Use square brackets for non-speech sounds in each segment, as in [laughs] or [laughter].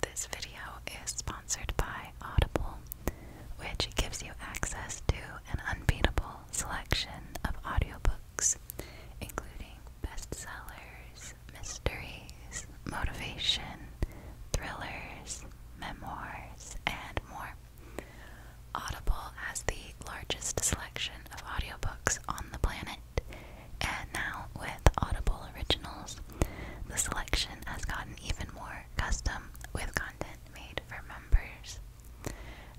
This video is sponsored by Audible, which gives you access to an unbeatable selection of audiobooks, including bestsellers, mysteries, motivation, thrillers, memoirs, and more. Audible has the largest selection of audiobooks on the planet, and now, with Audible Originals, the selection has gotten even more custom with content made for members.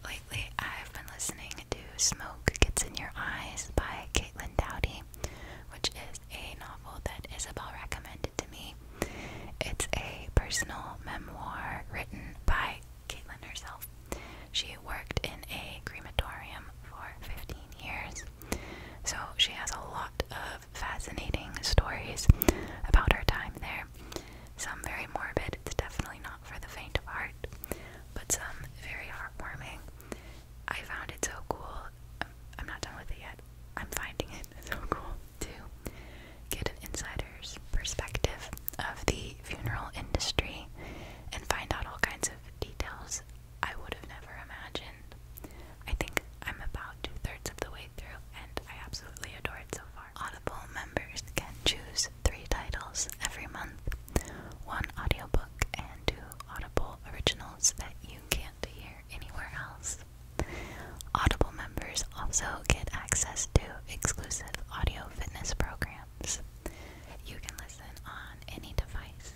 Lately, I've been listening to Smoke Gets in Your Eyes by Caitlin Dowdy, which is a novel that Isabel recommended to me. It's a personal memoir written by Caitlin herself. She worked in a crematorium for 15 years, so she has a lot of fascinating stories about our time there. Some very morbid, it's definitely not for the faint of heart, but some very heartwarming. I found it so cool. I'm not done with it yet. I'm finding it [laughs] so cool to get an insider's perspective of the funeral industry and find out all kinds of details I would have never imagined. I think I'm about two thirds of the way through, and I absolutely adore it so far. Audible members can choose three titles every month one audiobook and two Audible originals that you can't hear anywhere else. Audible members also get access to exclusive audio fitness programs. You can listen on any device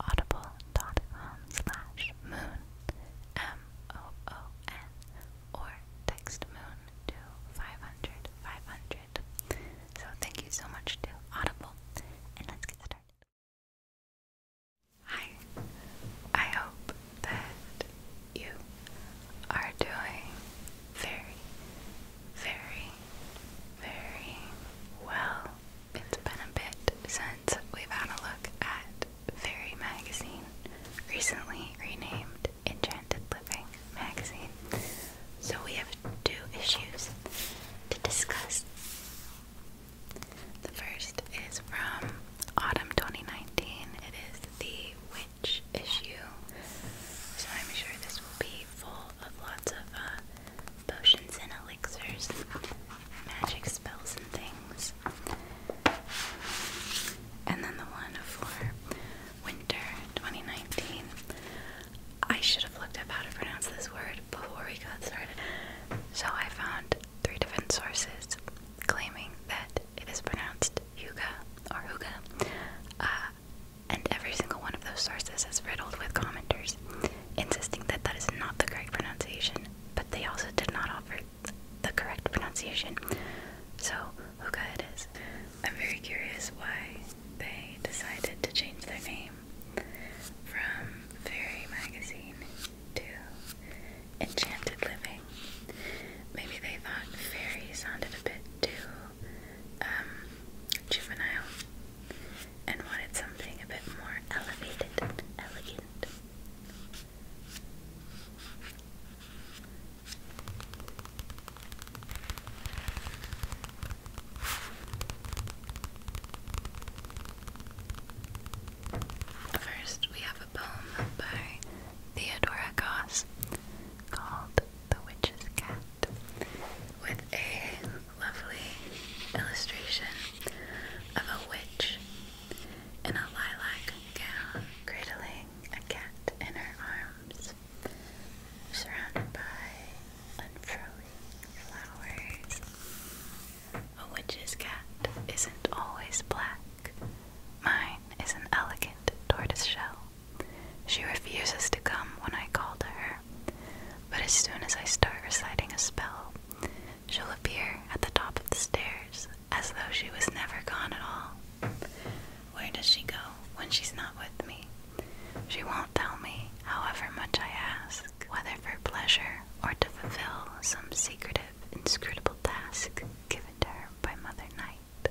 Audible.com moon M O O N or text moon to 500 500. So thank you so much to Audible and let's get started. Hi, I hope that you are doing very, very, very well it's been a bit since we've had a look at Fairy Magazine, recently renamed Enchanted Living Magazine. So we have two issues to discuss. The first is from autumn 2019. It is the Witch issue. So I'm sure this will be full of lots of uh, potions and elixirs, magic spells and things. And then the one for winter 2019. I should have looked up how to pronounce this word before we got started. So I found three different sources claiming that it is pronounced Huga or Huga. Uh, and every single one of those sources is riddled with commenters insisting that that is not the correct pronunciation, but they also did not offer the correct pronunciation. So, Hookah it is. I'm very curious why they decided to change their name from Fairy Magazine to Enchanted Living. Maybe they thought fairy sounded a bit too um, juvenile and wanted something a bit more elevated and elegant. First, we have a poem by Theodora Goss called The Witch's Cat with a lovely illustration of a witch in a lilac gown cradling a cat in her arms, surrounded by unfurling flowers. A witch's cat isn't always black. Mine is an elegant tortoise shell. She refuses to come when I call to her, but as soon as I start reciting a spell, She'll appear at the top of the stairs as though she was never gone at all. Where does she go when she's not with me? She won't tell me, however much I ask, whether for pleasure or to fulfill some secretive, inscrutable task given to her by Mother Night.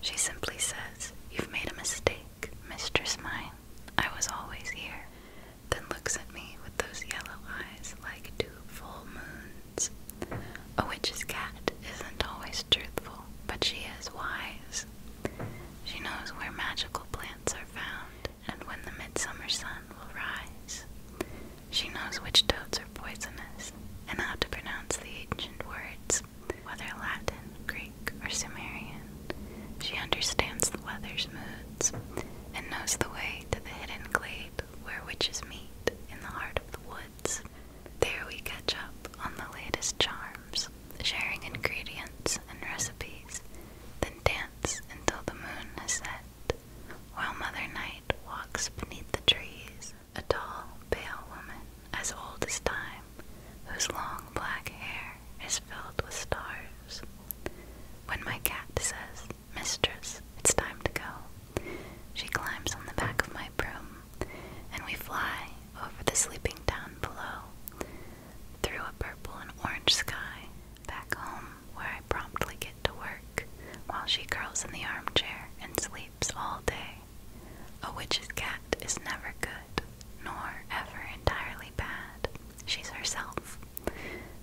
She simply says, You've made a mistake, mistress mine. I was always here then looks at me with those yellow eyes like two full moons. A witch's cat isn't always truthful, but she is wise. She knows where magical plants are found and when the midsummer sun will rise. She knows which toads are poisonous and how to pronounce the ancient words, whether Latin, Greek, or Sumerian. She understands the weather's moods and knows the way to the hidden glade where witches meet in the heart of the woods. There we catch up on the latest charms, sharing ingredients and recipes, then dance until the moon is set, while Mother Night walks beneath the trees, a tall, pale woman as old as time, whose long black hair is filled with stars. When my cat says, Mistress, it's time to go, she climbs on the back of my broom, and we fly over the sleeping town below, through a purple and orange sky, back home where I promptly get to work while she curls in the armchair and sleeps all day. A witch's cat is never good, nor ever entirely bad. She's herself,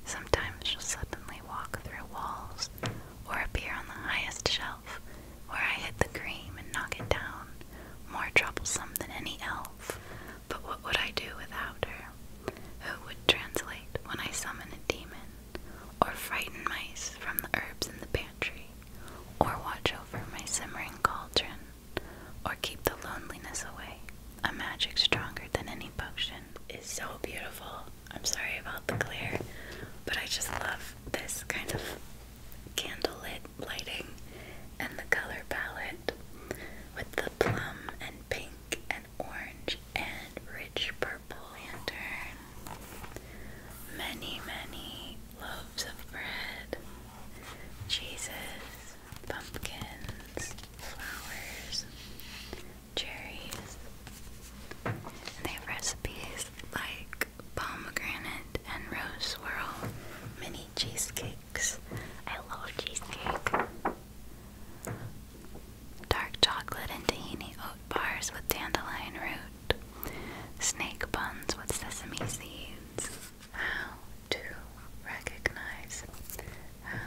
Sometimes she'll suddenly walk through walls or appear on the highest shelf where I hit the cream and knock it down, more troublesome than any elf. But what would I do without her? Who would translate when I summon a demon, or frighten mice from the herbs in the pantry, or watch over my simmering cauldron, or keep the loneliness away, a magic stronger than any potion? is so beautiful. I'm sorry about the glare, but I just love this kind of candlelit lighting and the color palette with the plum and pink and orange and rich purple lantern. Many, many loaves of bread. Jesus pumpkins, flowers, cherries. And they have recipes like pomegranate and rose swirl mini cheesecakes. I love cheesecake. Dark chocolate and tahini oat bars with dandelion root. Snake buns with sesame seeds. How to recognize how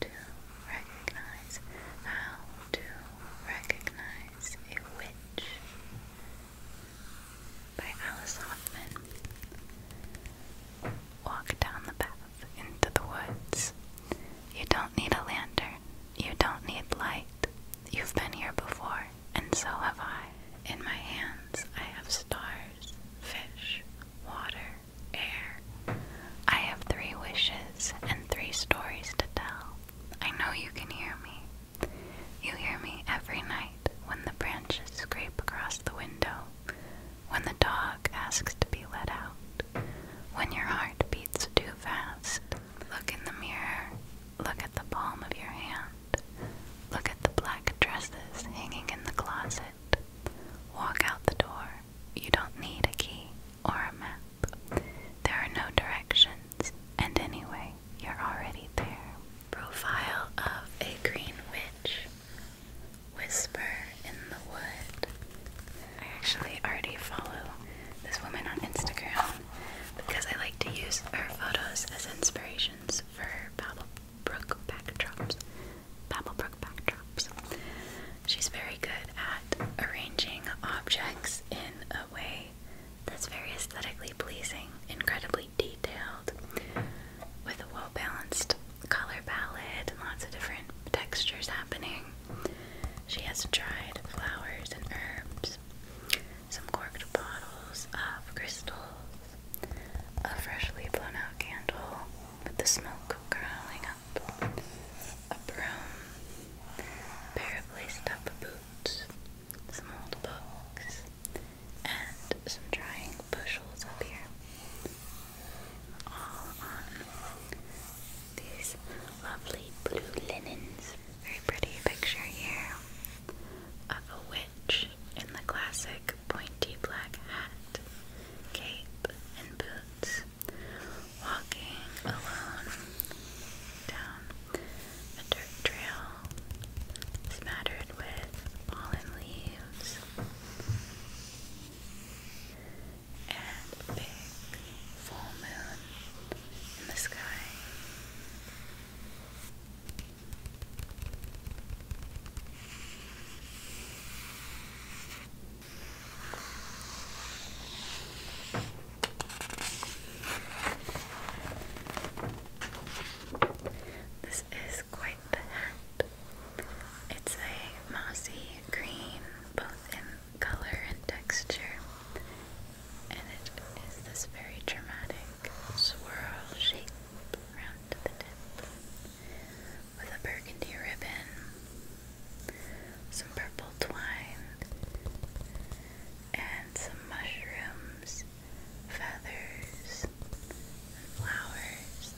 to recognize, how to recognize a witch by Alice Hoffman. Walk down the path into the woods. You don't need a lantern. You don't need light. You've been here before, and so have I. In my hands, I have stars, fish, water, air. I have three wishes and three stories to tell. I know you can hear me. You hear me every night when the branches scrape across the window, when the dog asks to be let out, when your heart beats too fast. Look in the mirror, look at the palm of your hand, look at the black dresses hanging in the closet. Walk out the door you don't need a key or a map. There are no directions, and anyway, you're already there. Profile of a Green Witch Whisper in the Wood. I actually already follow this woman on Instagram because I like to use her photos as inspirations for Babel Brook backdrops. Babelbrook backdrops. She's very good at arranging objects in a way that's very aesthetically pleasing, incredibly detailed, with a well balanced color palette lots of different textures happening. She has dried flowers and herbs, some corked bottles of crystals, a freshly blown out candle with the smoke curling up a broom, a pair of lace up boots, some old books, and some drying bushels up here. All on these lovely blue linens. Very pretty picture here of a witch in the classic pointy black hat, cape, and boots walking alone down a dirt trail smattered with fallen leaves and big full moon in the sky. This is quite the hat. It's a mossy green, both in color and texture, and it is this very dramatic swirl shape around the tip with a burgundy ribbon, some purple twine, and some mushrooms, feathers, and flowers.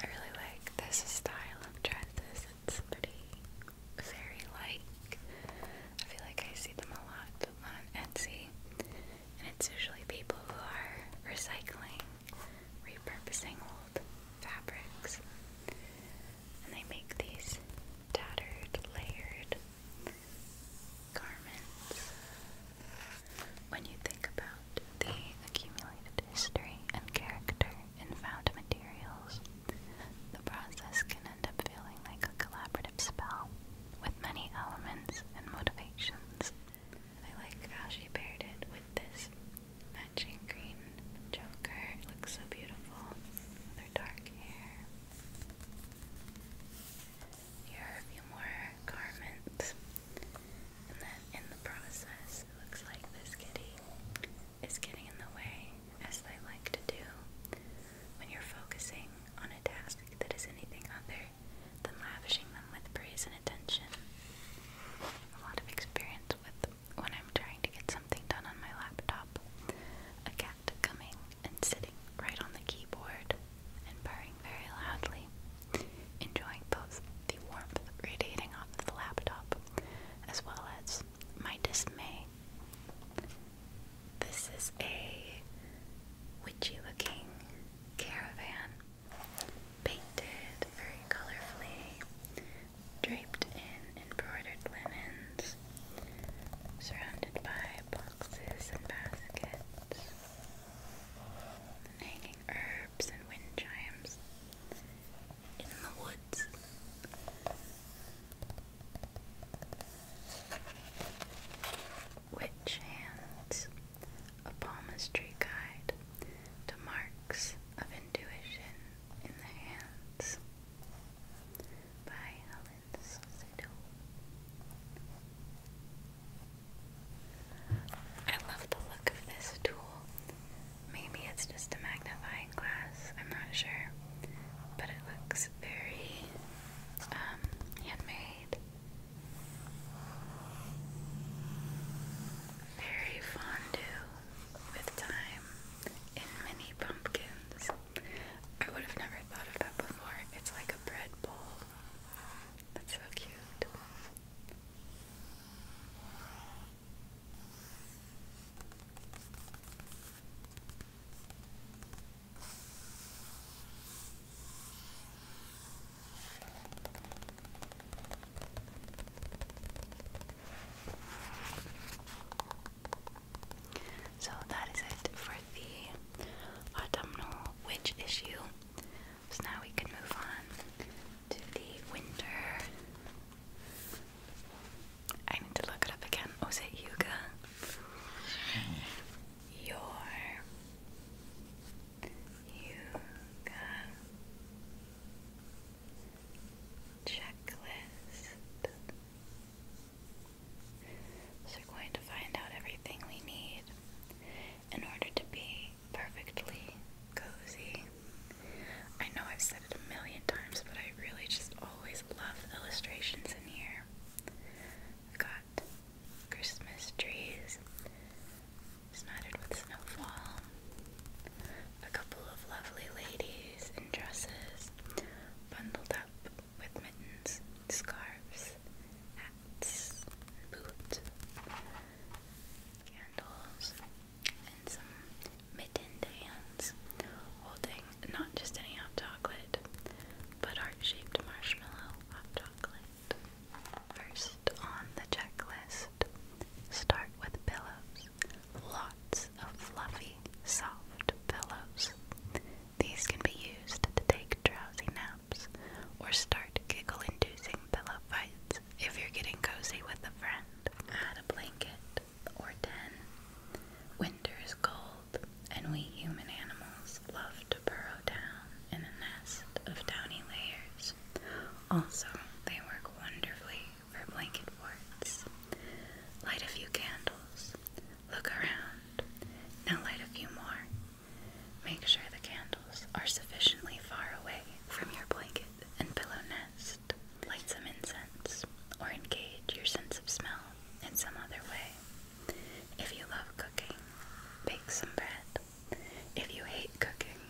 I really like this style of dresses. It's pretty very like. I feel like I see them a lot on Etsy, and it's usually people who are recycling, repurposing old fabrics, and they make these tattered, layered garments. When you think about the accumulated history and character in found materials, the process can end up feeling like a collaborative spell with many elements and motivations. I like how she paired it with this matching green choker. It looks so beautiful with dark hair. Here are a few more garments. And then in the process, it looks like this is getting in the way, as they like to do. When you're focusing on a task that is anything other than lavishing them with praise and attention, a lot of experience with when I'm trying to get something done on my laptop, a cat coming and sitting right on the keyboard and purring very loudly, enjoying both the warmth radiating off the laptop as well as my dismay, this is a witchy looking caravan painted very colorfully, draped in embroidered linens, surrounded by boxes and baskets, hanging herbs and wind chimes in the woods. Witch Hands, a palmistry guide to marks of intuition in the hands by Helen Sidhu. I love the look of this tool. Maybe it's just a magnifying glass, I'm not sure. But it looks very um, handmade. Very fondue with time in mini pumpkins. I would have never thought of that before. It's like a bread bowl. That's so cute. So that is it for the autumnal witch issue. So now we can move on to the winter I need to look it up again. Was oh, it yoga? Your yoga checklist. So we're going to find out everything we need in order to be perfectly cozy. I know I've said it a million times, but I really just always love the illustrations in here somewhere. have got Christmas trees snotted with snowfall, a couple of lovely ladies in dresses bundled up with mittens, scarves, hats, boots, candles, and some mittened hands holding not just any hot chocolate, but heart shaped marshmallow hot chocolate. First on the checklist, start with pillows. Lots of fluffy, soft pillows. These can be used to take drowsy naps or start giggle inducing pillow fights if you're getting cozy with a friend. Add a blanket or 10. Winter's cold and we human animals love to burrow down in a nest of downy layers. Also, they work wonderfully for blanket forts. Light a few candles. Look around. Now light a few more. Make sure the candles are sufficiently far away from your blanket and pillow nest. Light some incense or engage your sense of smell in some other way. If you love cooking, bake some bread. If you hate cooking,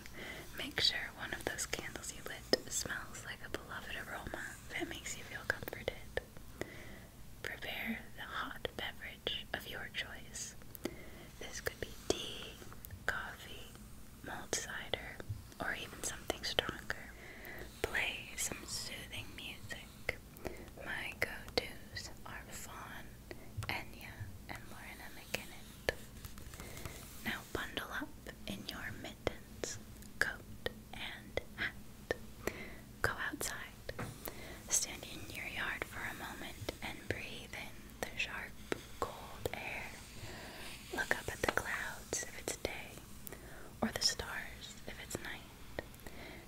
make sure one of those candles you lit smells like a beloved aroma that makes you feel comforted. Prepare the hot beverage of your choice. This could be tea, coffee, mulled cider, or even something stronger. Play some soothing music. My go-tos are Fawn, Enya, and Lorna McKinnon. Now bundle up in your mittens, coat, and hat. Go outside. Stand in your yard for a moment and breathe in the sharp, cold air. Look up at the clouds if it's day, or the stars if it's night.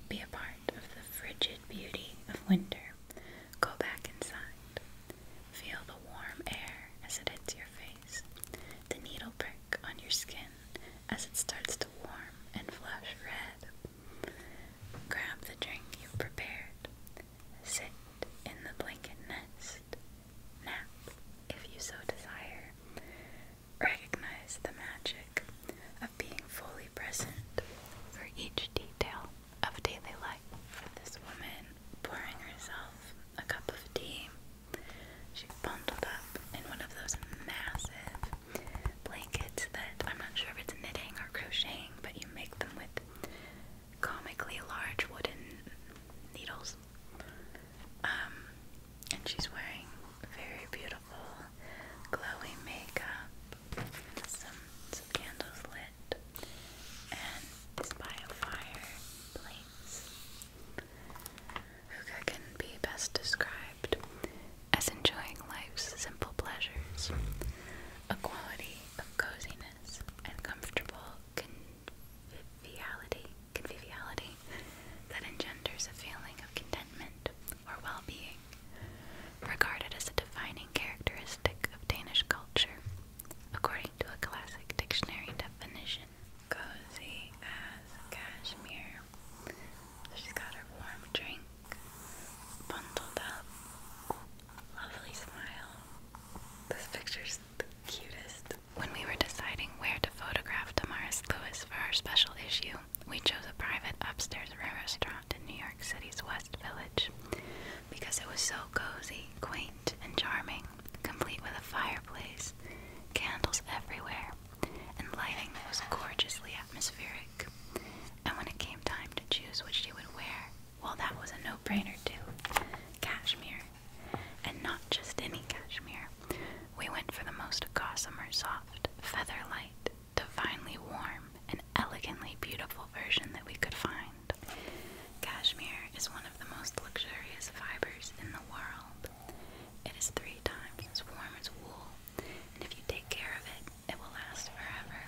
Be a part of the frigid beauty of winter. Go back inside. Feel the warm air as it hits your face, the needle prick on your skin as it starts to warm and flush red. Grab the drink you prepared. Sit in the blanket nest. Nap if you so desire. Recognize the magic of being fully present for each detail of daily life. For this woman pouring herself a cup of tea, she bundled up in one of those massive blankets that I'm not sure if it's knitting or crocheting, but you make them with comically large wooden needles. Um, and she's wearing very beautiful glowy makeup some some candles lit and is by a fire fireplace. Huga can be best described as enjoying life's simple pleasures, a quality of coziness and comfortable conviviality, conviviality that engenders a feeling of contentment or well being, regarded as a defining characteristic of Danish culture, according to a classic dictionary definition. Cozy as cashmere. she's got her warm drink, bundled up, lovely smile. This picture's the cutest. When we were deciding where to photograph Damaris Lewis for our special issue, we chose a private upstairs restaurant in New York City's West Village because it was so cozy, quaint, and charming, complete with a fireplace, candles everywhere, and lighting that was gorgeously atmospheric. And when it came time to choose what she would wear, well, that was a no brainer, too cashmere. And not just any cashmere. We went for the most gossamer soft, feather light divinely warm, and elegantly beautiful version that we could find. Cashmere is one of the most luxurious fibers in the world. It is three times as warm as wool, and if you take care of it, it will last forever.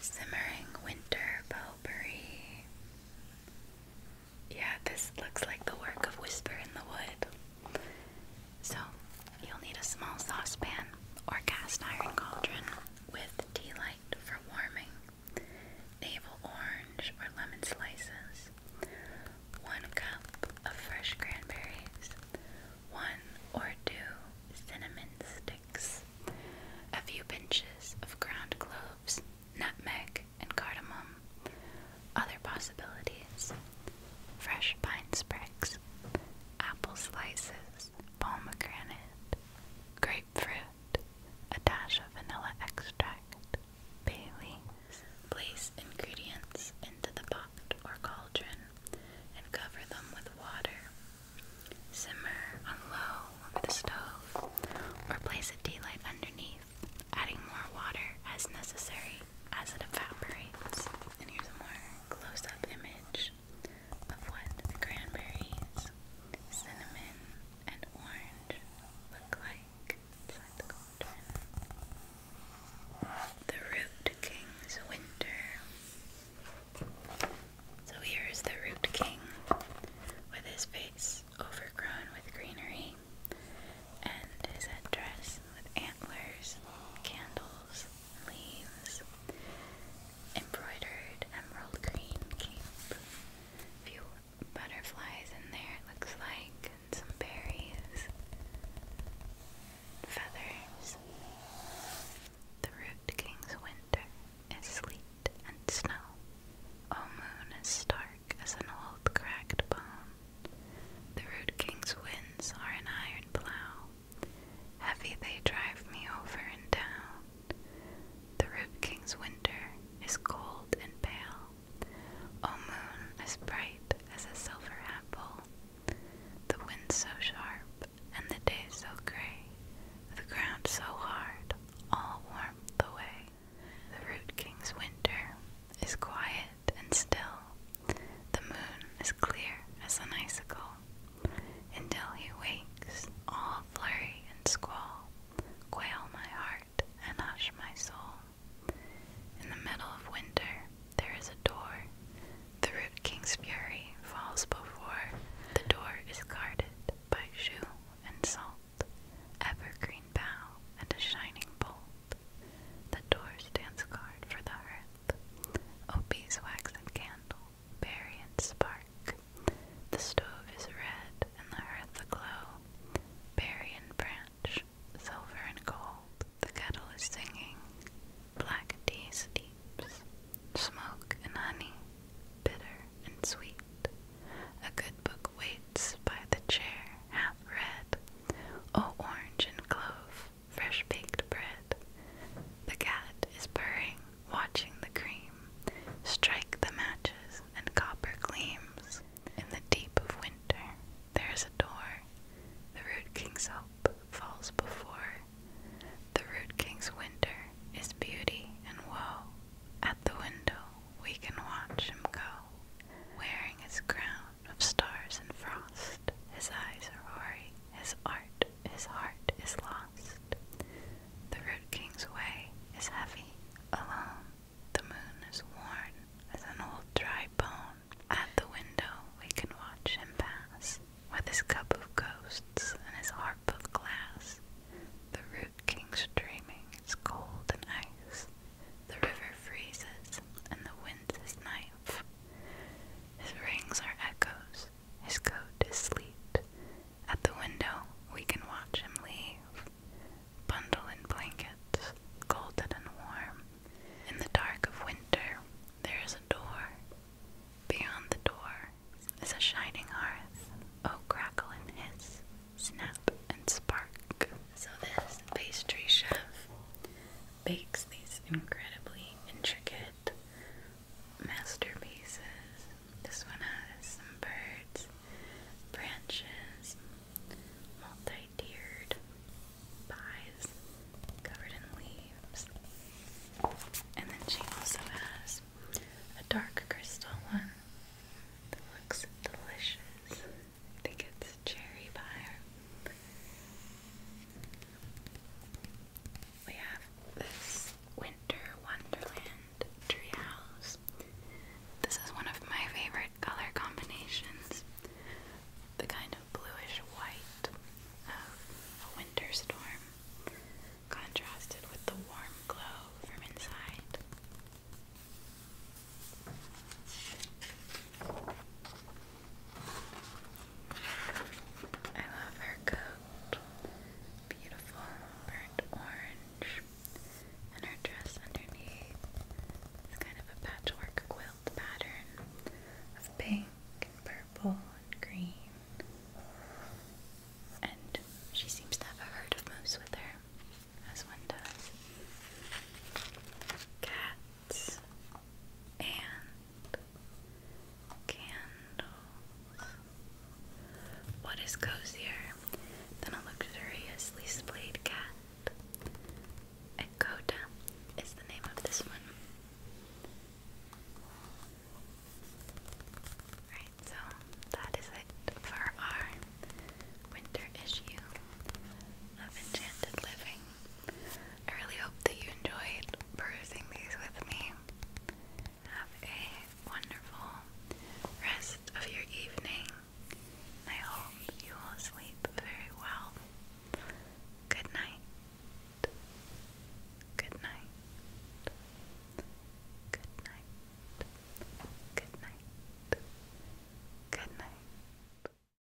Simmering Winter Potpourri. Yeah, this looks like the work of Whisper in the Wood. So, you'll need a small saucepan or cast iron cauldron with tea light for warming, navel orange or lemon slices, 1 cup of fresh cranberries, 1 or 2 cinnamon sticks, a few pinches of ground cloves, nutmeg, and cardamom, other possibilities fresh pine sprigs, apple slices, pomegranate, grapefruit, a dash of vanilla extract, bay Place ingredients into the pot or cauldron and cover them with water. Simmer on low over the stove or place a tea light underneath adding more water as necessary as it evaporates. And here's a more close up image of what the cranberries, cinnamon, and orange look like inside the cauldron. The Root King's Winter. So here is the Root King with his face overgrown with greenery and his dress with antlers, candles, leaves, embroidered emerald green cape, few butterflies in there it looks like, and some berries, feathers. The root king's winter is sleet and snow. O moon as stark as an old cracked bone. The root king's winds are an iron plough. Heavy they drive me over and down. The root king's winter is cold and pale. O moon as bright as a silver apple. The winds so sharp and the day so gray. The ground so hard, all the way. The root king's winter is quiet and still. The moon is clear as an icicle. Until he wakes, all flurry and squall quail my heart and hush my soul. In the middle of winter, there is a door. The king's fury falls before. The door is guarded by shoe and salt, evergreen bough, and a shining bolt. The door stands guard for the hearth. O beeswax and candle, berry and spark. The stove is red and the hearth aglow. Berry and branch, silver and gold. The kettle is singing. Black tea steeps. Smoke and honey, bitter and sweet. A good book waits by the chair half red, O orange and clove, fresh baked bread. The cat is purring, watching the cream strike the matches and copper gleams. In the deep of winter, there is a door. The root king's hope falls before. The root king's winter is beauty and woe. At the window, we can watch him go, wearing his crown of stars and frost. His eyes are hoary, his art, his heart is lost. The root king's way is heavy, alone. The moon is worn as an old dry bone. At the window we can watch him pass, with his cup of ghosts and his harp of glass. The root king's dreaming is cold and ice. The river freezes, and the wind is knife. His rings are echoes, his coat is sleet. At the window, we can watch him leave, bundle in blankets, golden and warm. In the dark of winter, there is a door. Beyond the door is a shining hearth. Oh, crackle and hiss, snap and spark. So, this pastry chef bakes these incredibly intricate masterpieces. This one has some birds, branches, multi tiered pies covered in leaves. And then she also has a dark crystal one that looks delicious. I think it's cherry pie. We have this Winter Wonderland treehouse. This is one of my favorite color combinations. The kind of bluish white of a winter storm, contrasted with the warm glow from inside. I love her coat. Beautiful burnt orange. And her dress underneath is kind of a patchwork quilt pattern of pink and purple and green. And she seems to have a heart of moose with her, as one does. Cat and candles. What is cozier than a luxuriously splayed cat? Ekota is the name of this one. Right, so that is it for our winter issue of Enchanted Living. I really hope that you enjoyed perusing these with me. Have a wonderful rest of your evening. I hope you will sleep very well. Good night. Good night. Good night. Good night. Good night.